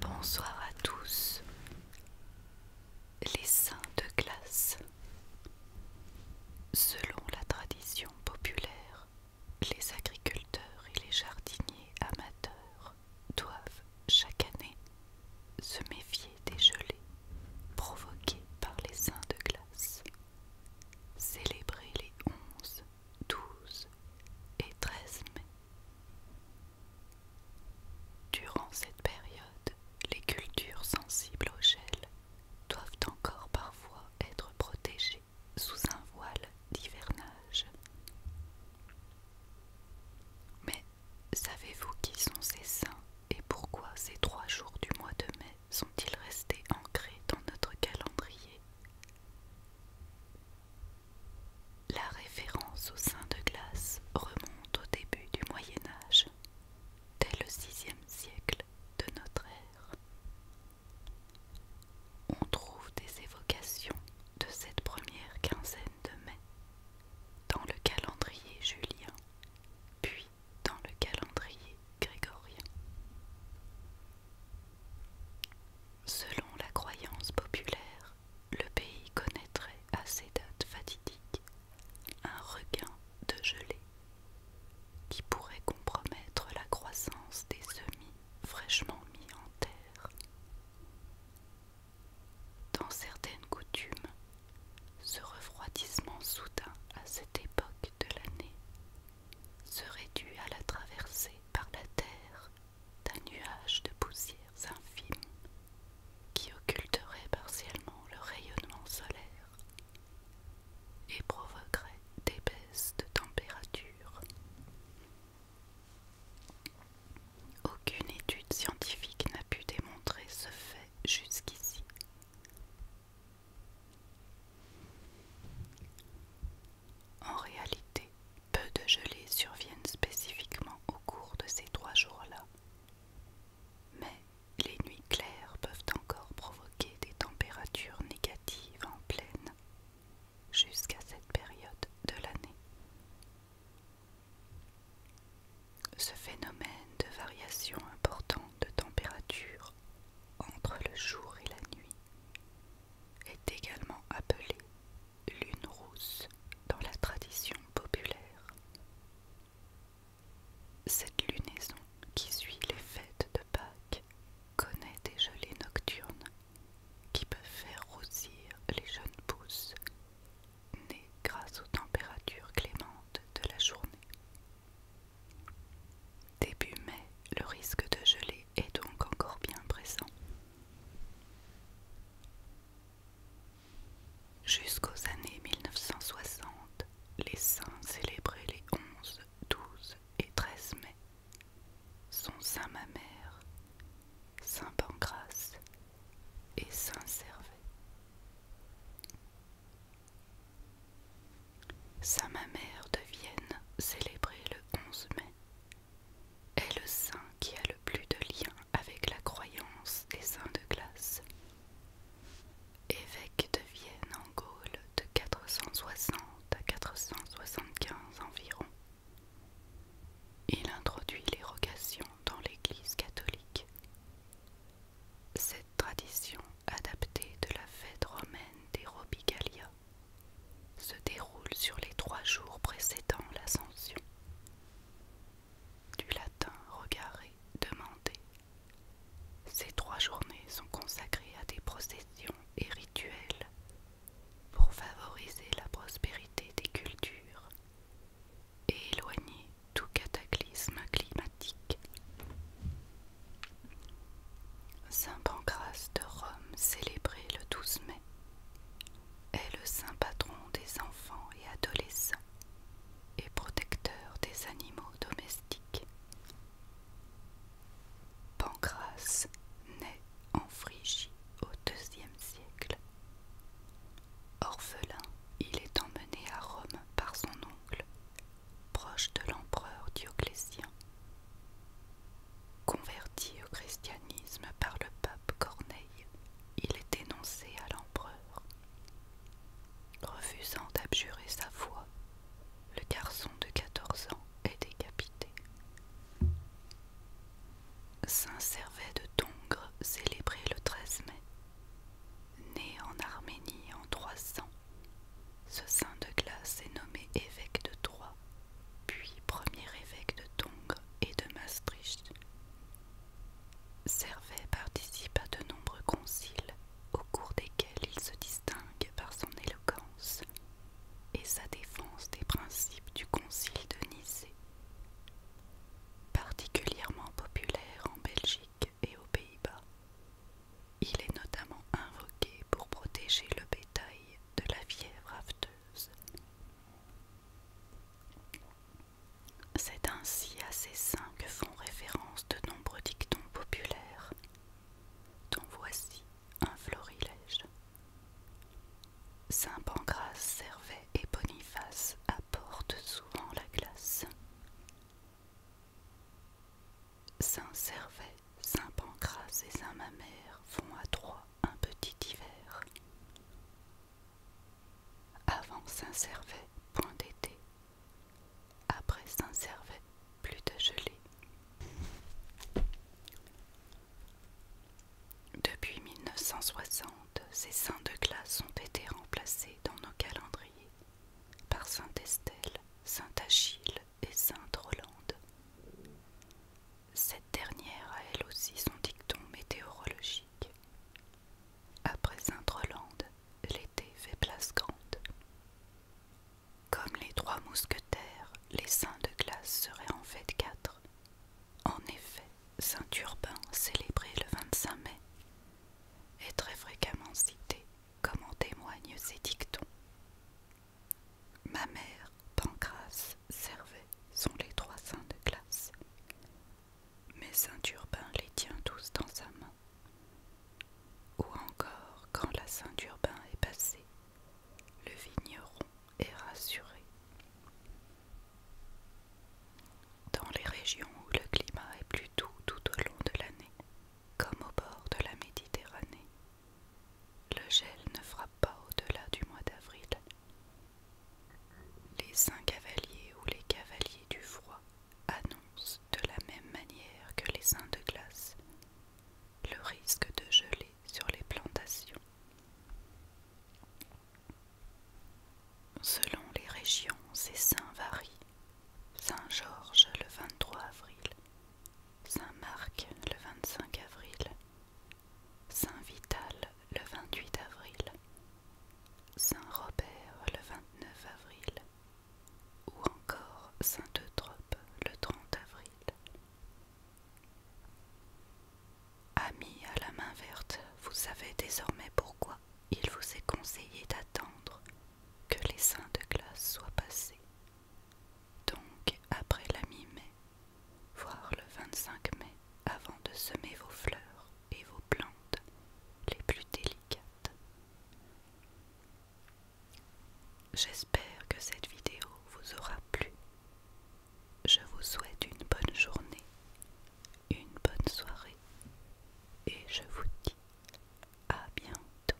Bonsoir à tous les saints de glace. Selon la tradition populaire, les agriculteurs et les jardiniers amateurs doivent chaque année se méfier des gelées provoquées par les saints de glace. Célébrer les 11, 12 et 13 mai Durant cette période, les cultures sensibles au gel doivent encore parfois être protégées sous un voile d'hivernage. Mais savez-vous qui sont ces saints et pourquoi ces trois jours du mois de mai sont-ils restés ancrés dans notre calendrier la référence au saint de glace remonte au début du Moyen Âge, dès le VIe siècle de notre ère. On trouve des évocations de cette première quinzaine de mai dans le calendrier julien, puis dans le calendrier grégorien. Selon la croyance populaire, le pays connaîtrait à ces dates fatidiques un regain de gelée qui pourrait compromettre la croissance des semis fraîchement mis en terre. Dans certaines coutumes, ce refroidissement soudain à cette époque de l'année serait dû à la traversée par la terre d'un nuage de poussières infimes qui occulterait partiellement le rayonnement solaire et provoquerait des baisses de température. Aucune étude scientifique n'a pu démontrer ce fait jusqu'ici. En réalité, peu de gelées surviennent spécifiquement au cours de ces trois jours-là. Mais les nuits claires peuvent encore provoquer des températures négatives en pleine jusqu'à cette période de l'année. Ce phénomène de variation importante de température entre le jour et la nuit est également appelée lune rousse dans la tradition populaire. Cette lunaison qui suit les fêtes de Pâques connaît des gelées nocturnes qui peuvent faire rosir les jeunes pousses nées grâce aux températures clémentes de la journée. Début mai, le risque de gelée est donc encore bien présent. Jusqu'aux années 1960, les saints célébrés les 11, 12 et 13 mai sont Saint Mamère, Saint Pancras et Saint Servet. Saint Mamère de Vienne célébré le 11 mai est le saint qui a le plus de liens avec la croyance des saints de glace. Évêque de Vienne en Gaule de 460 à 475 environ, il introduit l'érogation dans l'Église catholique. Cette tradition adaptée de la fête romaine des Robigalia se déroule sur les trois jours précédant l'ascension. Du latin regardé, demander. Ces trois journées sont consacrées à des processions et rituels pour favoriser la prospérité des cultures et éloigner tout cataclysme climatique. Saint Pancras de Rome célébré le 12 mai est le saint patron des enfants et adolescents et protecteur des animaux domestiques. Pancras naît en Phrygie au IIe siècle. Orphelin, il est emmené à Rome par son oncle, proche de l'empereur Dioclétien. Converti au christianisme par le pape Corneille, il est énoncé à l'empereur. Refusant d'abjurer sa foi, le garçon de 14 ans est décapité. Saint Servais de Tongres, célébré le 13 mai, né en Arménie en 300, ce saint de glace est nommé évêque de Troyes puis premier évêque de Tongres et de Maastricht. Servet participe à de nombreux conciles au cours desquels il se distingue par son éloquence et sa défense des principes du concile de Nicée. Particulièrement populaire en Belgique et aux Pays-Bas, il est notamment invoqué pour protéger le bétail de la fièvre afteuse c'est ainsi à ces saints que font référence de nombreux dictons populaires, dont voici un florilège. Saint Pancras servait et Boniface apportent souvent la glace. Saint Servet, Saint Pancras et Saint Mamère font à trois un petit hiver. Avant Saint-Servais, point d'été. Après Saint-Servais, plus de gelée. Depuis 1960, ces saints de glace ont été remplacés dans nos calendriers par Saint Estelle, Saint Achille et Sainte Rolande. Cette dernière a elle aussi son dicton météorologique. Après Sainte-Rolande, l'été fait place grande. Comme les trois mousquetaires, les saints de glace seraient en fait quatre. En effet, Saint-Urbain, célébré le 25 mai, est très fréquemment cité, comme en témoignent ses dictons. Ma mère, Pancras, Servet sont les trois saints de glace, Mais saint Urbain les tient tous dans sa main. Ou encore, quand la saint Urbain est passée, le vigneron est rassuré. Dans les régions où le climat est plus doux tout au long de l'année, comme au bord de la Méditerranée, le gel ne frappe pas au-delà du mois d'avril, les saints cavaliers ou les cavaliers du froid annoncent de la même manière que les saints de glace le risque de geler sur les plantations. Selon les régions, ces saints varient. Saint-Georges le 23 avril, Saint-Marc le 25 avril, Saint-Vital le 28 avril, Saint-Robert le 29 avril ou encore Saint-Eutrope le 30 avril. Amis à la main verte, vous savez désormais pourquoi il vous est conseillé d'attendre que les saints de glace soient passés. Donc, après la mi-mai, Voir le 25 mai avant de semer vos fleurs et vos plantes les plus délicates. J'espère que cette vidéo vous aura plu. Je vous souhaite une bonne journée, une bonne soirée et je vous dis à bientôt.